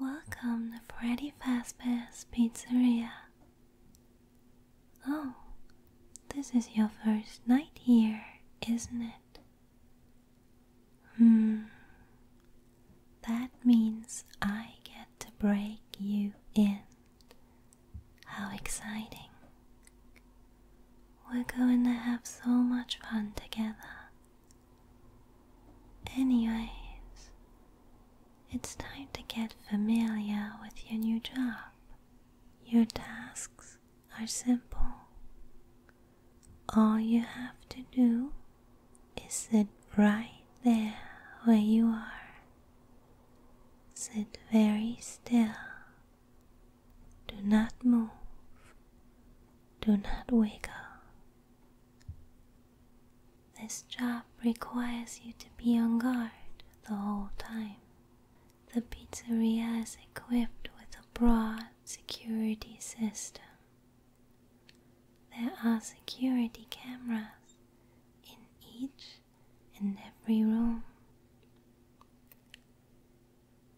Welcome to Freddy Fazbear's Pizzeria. Oh, this is your first night here, isn't it? Hmm. That means I get to break you in. How exciting! We're going to have so much fun together. Anyways, it's time to get familiar with your new job. Your tasks are simple. All you have to do is sit right there where you are. Sit very still. Do not move do not wiggle. This job requires you to be on guard the whole time. The pizzeria is equipped with a broad security system. There are security cameras in each and every room.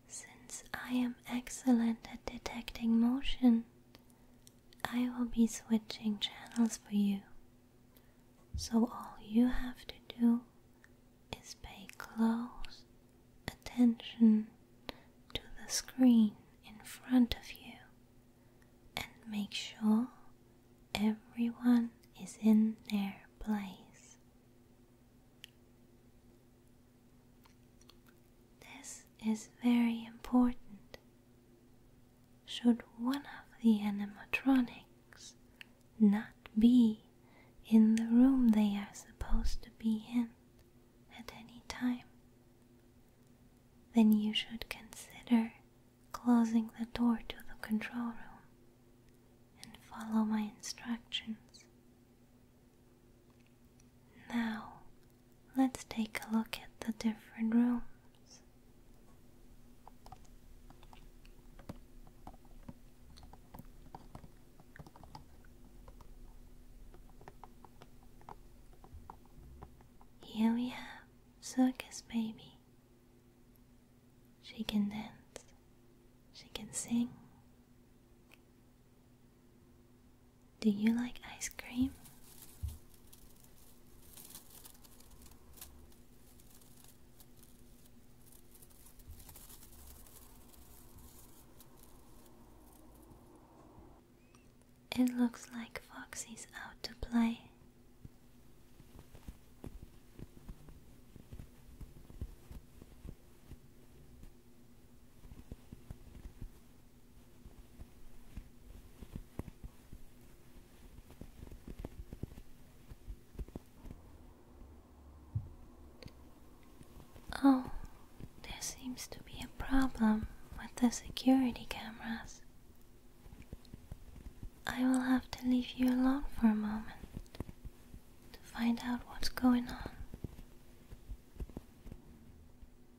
Since I am excellent at detecting motion, I will be switching channels for you. So all you have to do is pay close attention to the screen in front of you and make sure everyone is in their place. This is very important. Should one of the animatronics not be in the room they are supposed to be in at any time, then you should consider closing the door to the control room and follow my instructions. Now, let's take a look at the different rooms. Here we have Circus Baby. She can dance, she can sing, do you like ice cream? It looks like Foxy's out to play. Oh, there seems to be a problem with the security cameras. I will have to leave you alone for a moment to find out what's going on.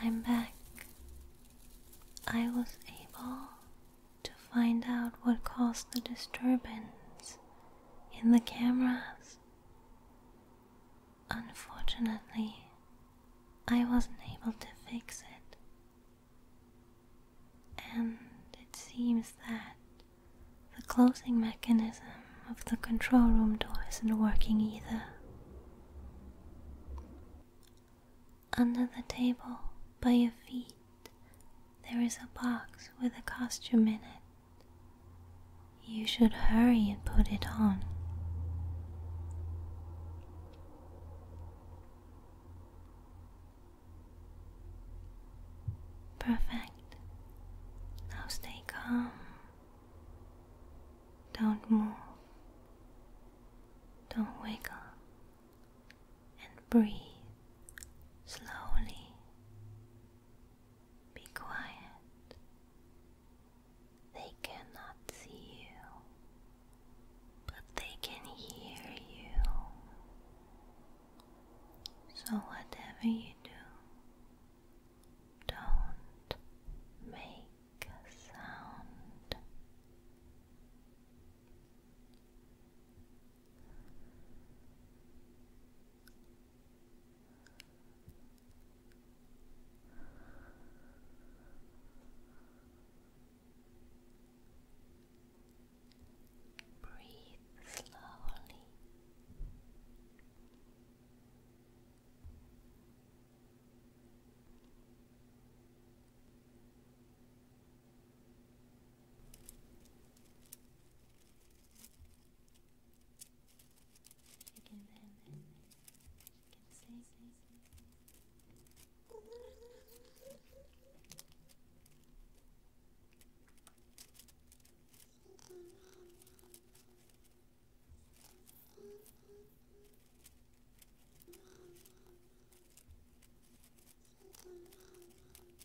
I'm back. I was able to find out what caused the disturbance in the cameras. Unfortunately, I wasn't able to fix it, and it seems that the closing mechanism of the control room door isn't working either. Under the table, by your feet, there is a box with a costume in it. You should hurry and put it on. Perfect. Now stay calm. Don't move. Don't wiggle and breathe slowly. Be quiet. They cannot see you, but they can hear you. So, whatever you do, don't make a sound. Breathe slowly. You can then you can say